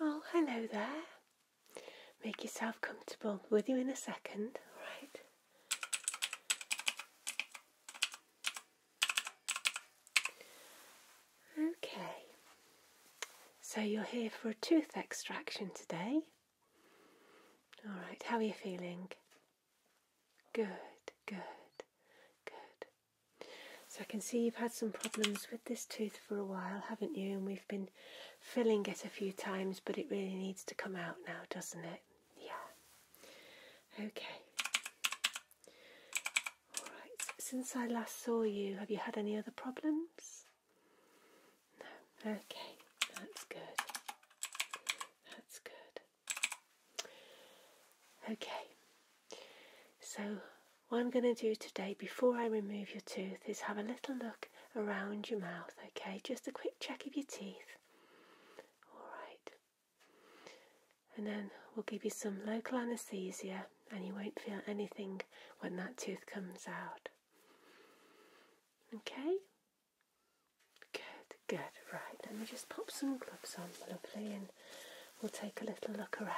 Oh, hello there. Make yourself comfortable with you in a second, right? Okay, so you're here for a tooth extraction today. All right, how are you feeling? Good, good, good. So I can see you've had some problems with this tooth for a while, haven't you? And we've been filling it a few times, but it really needs to come out now, doesn't it? Yeah. Okay. All right. Since I last saw you, have you had any other problems? No. Okay. That's good. That's good. Okay. So what I'm going to do today before I remove your tooth is have a little look around your mouth, okay? Just a quick check of your teeth. Alright. And then we'll give you some local anaesthesia and you won't feel anything when that tooth comes out. Okay? Good, good. Right, let me just pop some gloves on, lovely, and we'll take a little look around.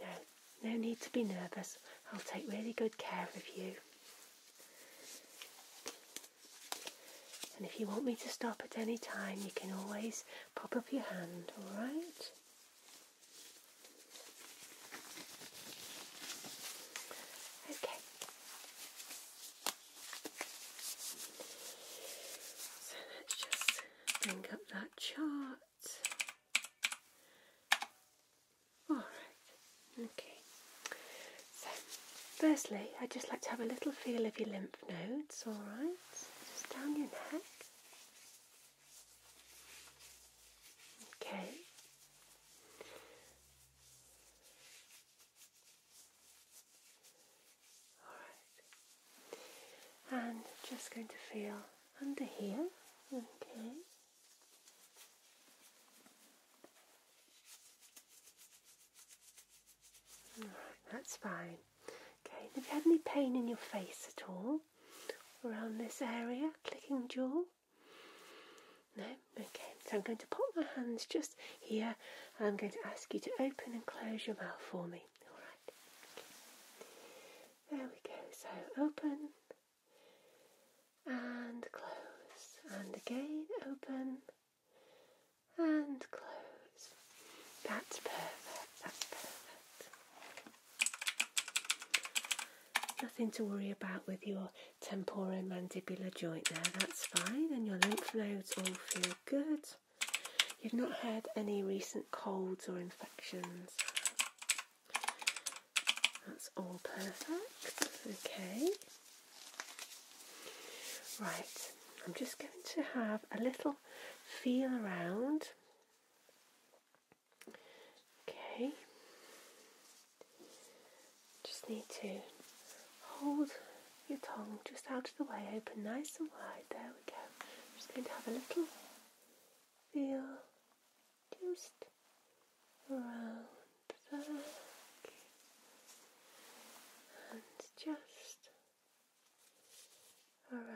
No, no need to be nervous. I'll take really good care of you. And if you want me to stop at any time, you can always pop up your hand, alright? Okay. So let's just bring up that chart. All right. Okay. So, firstly, I'd just like to have a little feel of your lymph nodes. All right. Just down your neck. Okay. All right. And just going to feel under here. Okay that's fine. Okay, have you had any pain in your face at all? Around this area, clicking jaw? No? Okay, so I'm going to pop my hands just here and I'm going to ask you to open and close your mouth for me. Alright. There we go. So open and close, and again open and close. That's perfect, that's perfect. Nothing to worry about with your temporomandibular joint there, that's fine, and your lymph nodes all feel good. You've not had any recent colds or infections. That's all perfect. Okay. Right, I'm just going to have a little feel around. Okay. Just need to hold your tongue just out of the way, open nice and wide. There we go. just going to have a little feel just around the and just around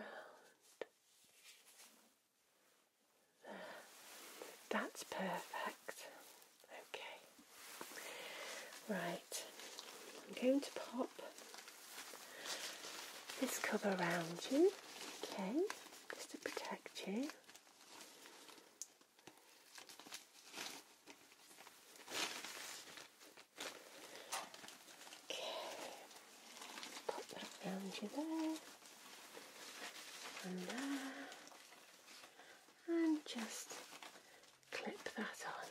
there. That's perfect. Okay. Right. I'm going to pop this cover around you, okay, just to protect you. Okay. Pop that around you there. And there. And just clip that on.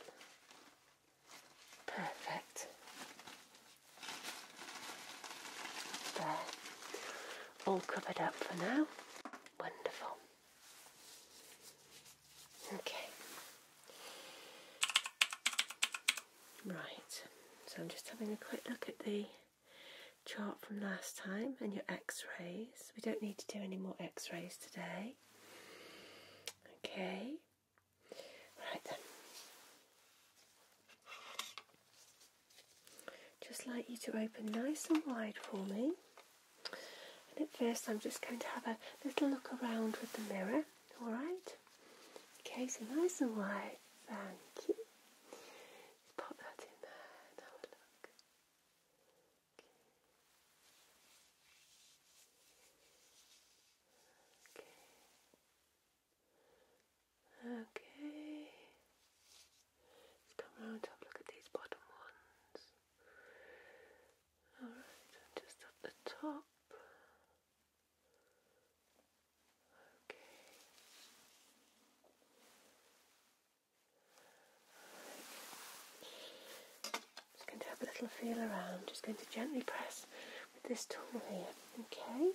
Perfect. There all covered up for now. Wonderful. Okay. Right, so I'm just having a quick look at the chart from last time and your x-rays. We don't need to do any more x-rays today. Okay. Right then. Just like you to open nice and wide for me. And at first, I'm just going to have a little look around with the mirror, alright? Okay, so nice and wide. Thank you. Just that in there have a look. okay. Okay. Let's come round and have a look at these bottom ones. Alright, just at the top. Okay. Just going to have a little feel around, just going to gently press with this tool here, okay?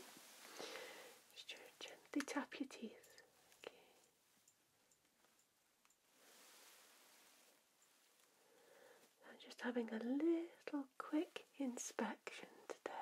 Just gently tap your teeth. Okay. And just having a little quick inspection today.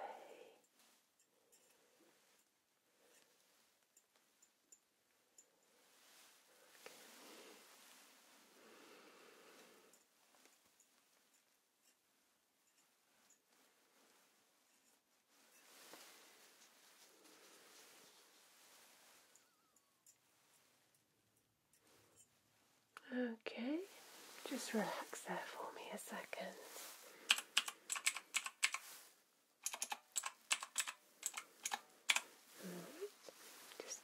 Okay, just relax there for me a second. Just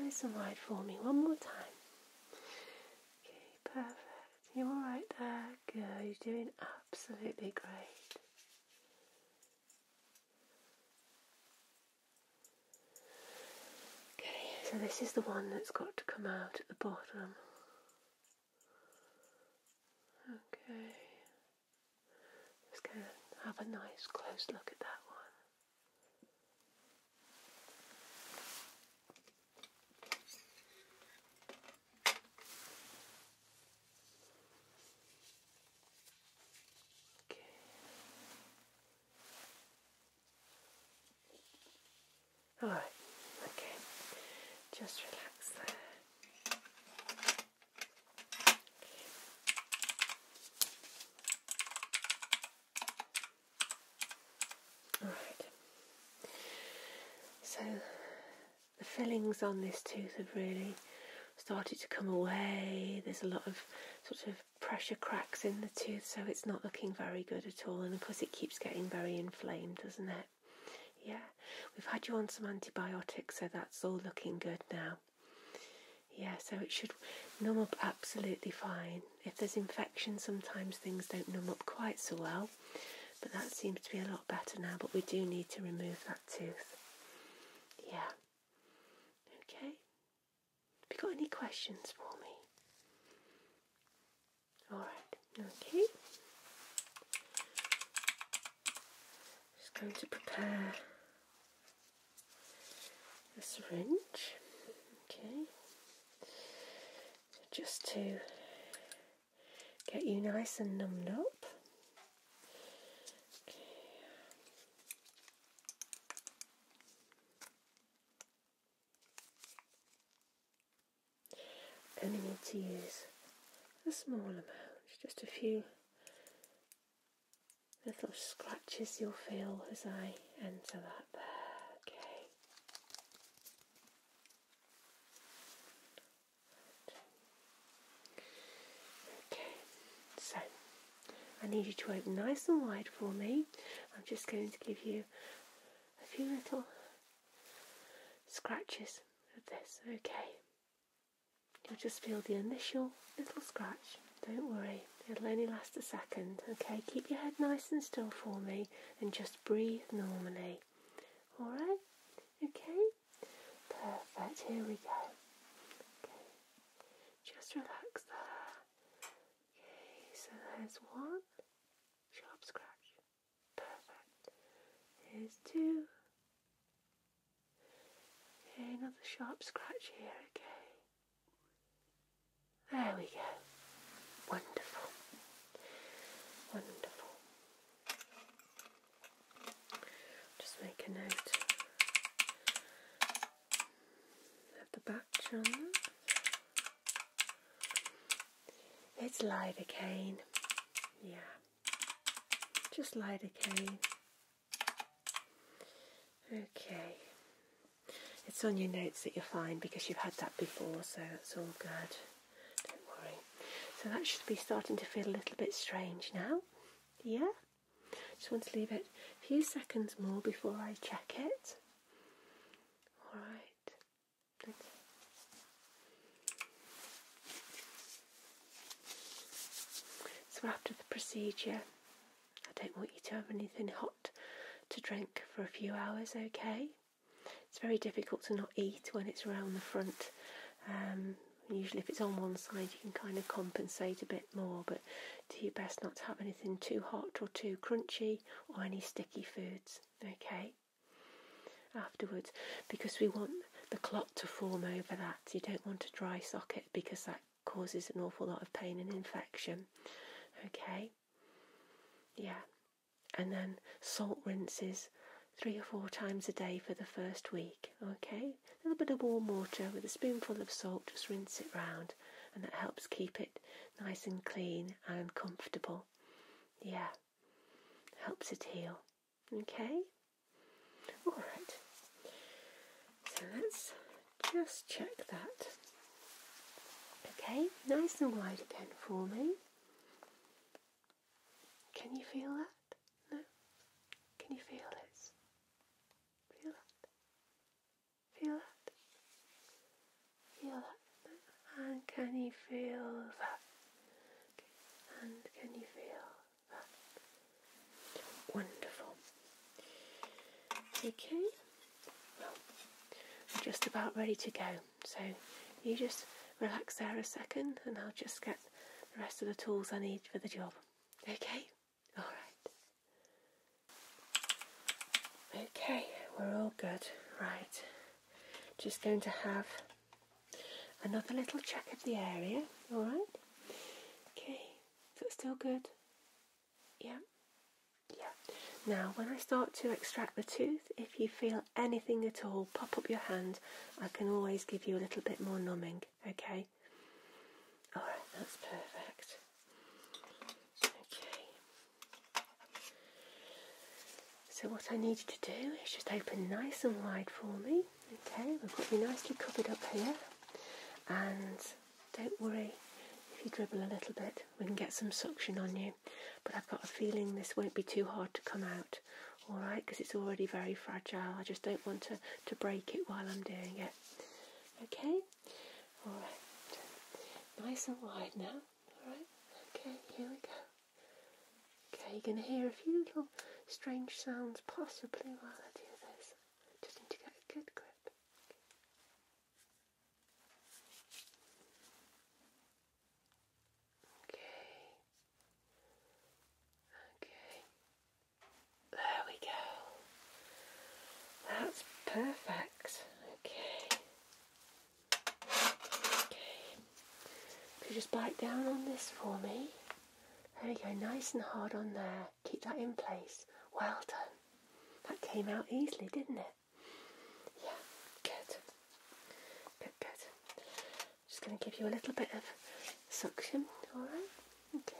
nice and wide for me one more time. Okay, perfect. You're all right there. girl. You're doing absolutely great. Okay, so this is the one that's got to come out at the bottom. Okay, let's go have a nice close look at that one. Okay. All right. Okay. Just relax All right. So the fillings on this tooth have really started to come away. There's a lot of sort of pressure cracks in the tooth, so it's not looking very good at all. And of course, it keeps getting very inflamed, doesn't it? Yeah, we've had you on some antibiotics, so that's all looking good now. Yeah, so it should numb up absolutely fine. If there's infection, sometimes things don't numb up quite so well. But that seems to be a lot better now, but we do need to remove that tooth. Yeah. Okay. Have you got any questions for me? Alright, okay. Just going to prepare a syringe. Okay. just to get you nice and numbed up. Okay. Only need to use a small amount, just a few little scratches you'll feel as I enter that there. Okay. Okay, so I need you to open nice and wide for me. I'm just going to give you a few little scratches of this, okay? You'll just feel the initial little scratch. Don't worry, it'll only last a second, okay? Keep your head nice and still for me and just breathe normally. Alright? Okay? Perfect, here we go. Okay, just relax there. Okay, so there's one sharp scratch. Perfect. Here's two. Okay, another sharp scratch here, okay. There we go. Wonderful. Wonderful. Just make a note Have the batch on that. It's lidocaine. Yeah. Just lidocaine. Okay. It's on your notes that you are fine because you've had that before, so that's all good. So that should be starting to feel a little bit strange now. Yeah? Just want to leave it a few seconds more before I check it. Alright. So after the procedure, I don't want you to have anything hot to drink for a few hours, okay? It's very difficult to not eat when it's around the front. Um, usually if it's on one side you can kind of compensate a bit more but do your best not to have anything too hot or too crunchy or any sticky foods okay afterwards because we want the clot to form over that you don't want a dry socket because that causes an awful lot of pain and infection okay yeah and then salt rinses three or four times a day for the first week. Okay, a little bit of warm water with a spoonful of salt, just rinse it round, and that helps keep it nice and clean and comfortable. Yeah, helps it heal. Okay, all right. So let's just check that. Okay, nice and wide again for me. Can you feel that? No? Can you feel this? Feel that? Feel that? Feel that? And can you feel that? And can you feel that? Wonderful. Okay. Well, just about ready to go so you just relax there a second and I'll just get the rest of the tools I need for the job. Okay? Alright. Okay, we're all good. Right. Just going to have another little check of the area. Alright? Okay. Is it still good? Yeah. Yeah. Now, when I start to extract the tooth, if you feel anything at all, pop up your hand. I can always give you a little bit more numbing, okay? Alright, that's perfect. Okay. So, what I need you to do is just open nice and wide for me, okay? We've got you nicely covered up here, and don't worry. If you dribble a little bit, we can get some suction on you. But I've got a feeling this won't be too hard to come out alright because it's already very fragile I just don't want to, to break it while I'm doing it okay alright nice and wide now alright okay here we go okay you're going to hear a few little strange sounds possibly while I do this just need to get a good grip Okay. Okay. There we go. That's perfect. Okay. Okay. Could you just bite down on this for me? There we go, nice and hard on there. Keep that in place. Well done. That came out easily, didn't it? Yeah, good. Good, good. Just going to give you a little bit of suction, alright? Okay.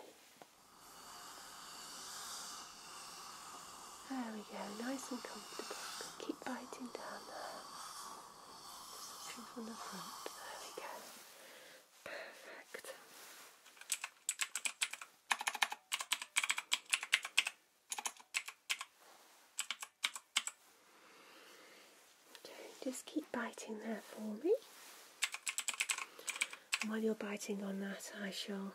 There we go, nice and comfortable. Keep biting down there. Suction from the front. There we go. Perfect just keep biting there for me. And while you're biting on that, I shall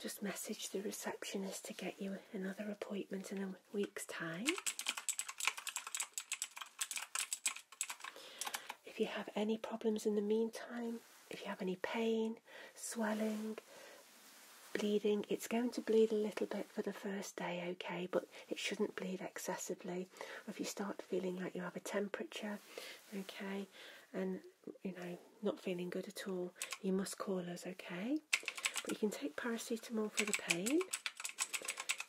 just message the receptionist to get you another appointment in a week's time. If you have any problems in the meantime, if you have any pain, swelling, bleeding, it's going to bleed a little bit for the first day, okay, but it shouldn't bleed excessively. if you start feeling like you have a temperature, okay, and you know, not feeling good at all, you must call us, okay? But you can take paracetamol for the pain.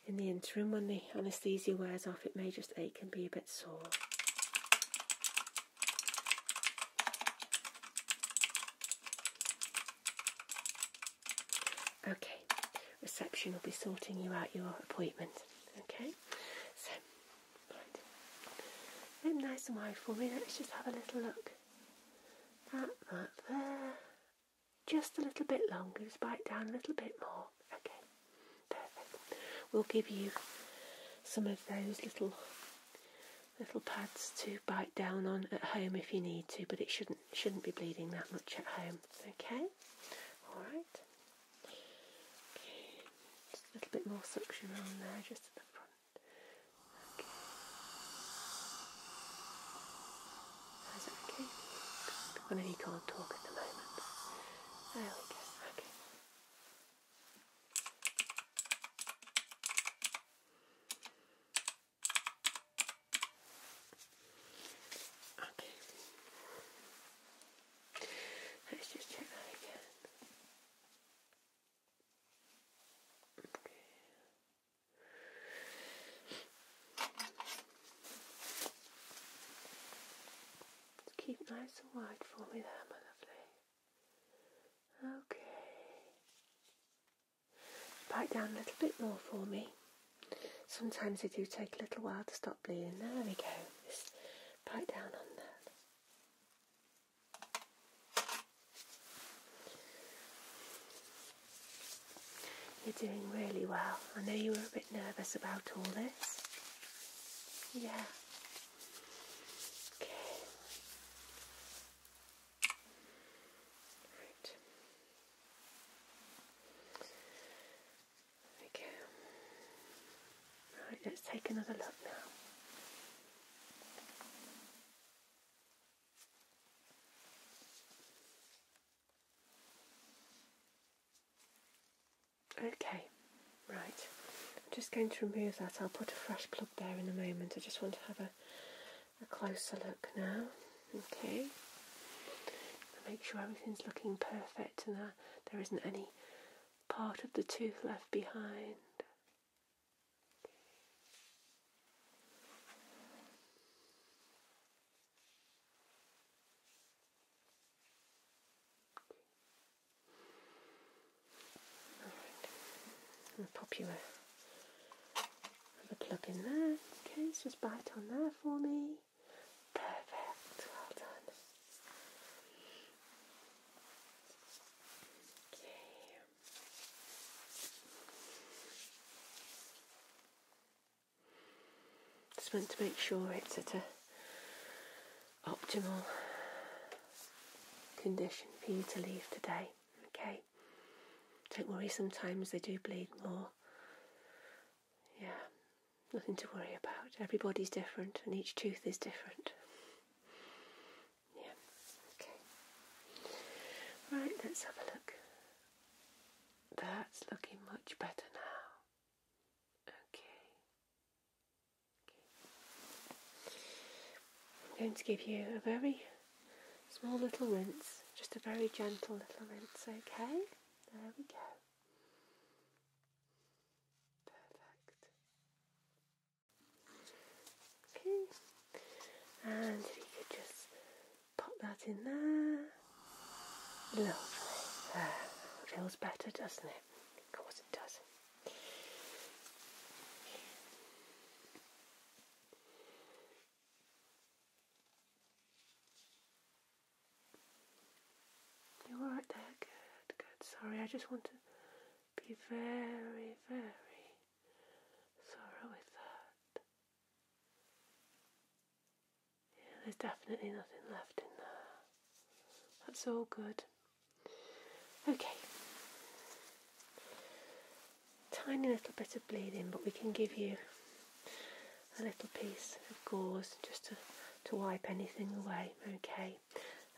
In the interim, when the anaesthesia wears off, it may just ache and be a bit sore. Okay, reception will be sorting you out your appointment. Okay, so, right. nice and wide for me. Let's just have a little look at that there. Just a little bit longer, just bite down a little bit more. Okay, perfect. We'll give you some of those little little pads to bite down on at home if you need to, but it shouldn't shouldn't be bleeding that much at home. Okay, all right. just a little bit more suction on there, just at the front. Okay. Is that okay? can't talk at the moment. There we go. Okay. Okay. Let's just check again. Okay. keep nice and wide for me there, my lovely. Okay. Back down a little bit more for me. Sometimes they do take a little while to stop bleeding. There we go. Just back down on that. You're doing really well. I know you were a bit nervous about all this. Yeah. Okay. Right. There Right, let's take another look now. Okay, right. I'm just going to remove that. I'll put a fresh plug there in a moment. I just want to have a a closer look now. Okay. Make sure everything's looking perfect and that there isn't any part of the tooth left behind. All right. I'll pop you a the plug in there. Okay, just bite on there for me. Perfect. Well done. Okay. Just want to make sure it's at a optimal condition for you to leave today. Okay. Don't worry, sometimes they do bleed more. Yeah, nothing to worry about. Everybody's different and each tooth is different. Yeah, okay. Right, let's have a look. That's looking much better now. Okay. okay. I'm going to give you a very Small little rinse, just a very gentle little rinse, okay? There we go. Perfect. Okay, and if you could just pop that in there. Lovely. Feels better, doesn't it? Of course it does. You're alright there, good, good. Sorry, I just want to be very, very thorough with that. Yeah, there's definitely nothing left in there. That's all good. Okay tiny little bit of bleeding but we can give you a little piece of gauze just to, to wipe anything away okay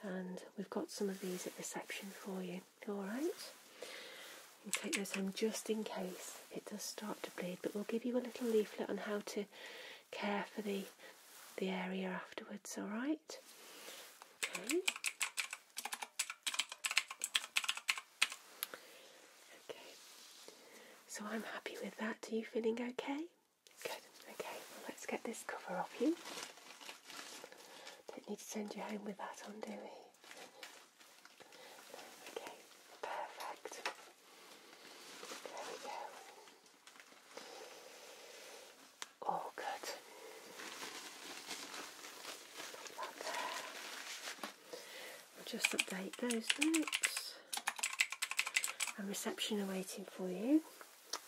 and we've got some of these at reception for you alright you take those home just in case it does start to bleed but we'll give you a little leaflet on how to care for the the area afterwards alright Okay, so I'm happy with that. Are you feeling okay? Good, okay, let's get this cover off you. Don't need to send you home with that on, do we? Okay, perfect. There we go. All good. Put that there. I'll just update those notes. And reception are waiting for you.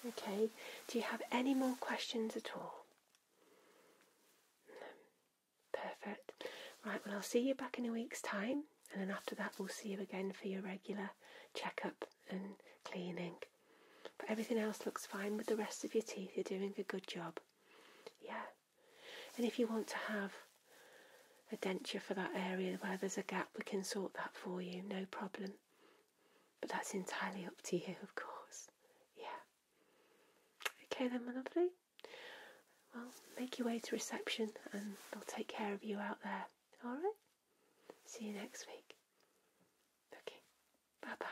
Okay, do you have any more questions at all? Perfect. Right, well, I'll see you back in a week's time, and then after that, we'll see you again for your regular checkup and cleaning. But everything else looks fine with the rest of your teeth, you're doing a good job. Yeah, and if you want to have a denture for that area where there's a gap, we can sort that for you, no problem. But that's entirely up to you, of course. Yeah. Okay then, my lovely. Well, make your way to reception and they'll take care of you out there. All right? See you next week. Okay. Bye bye.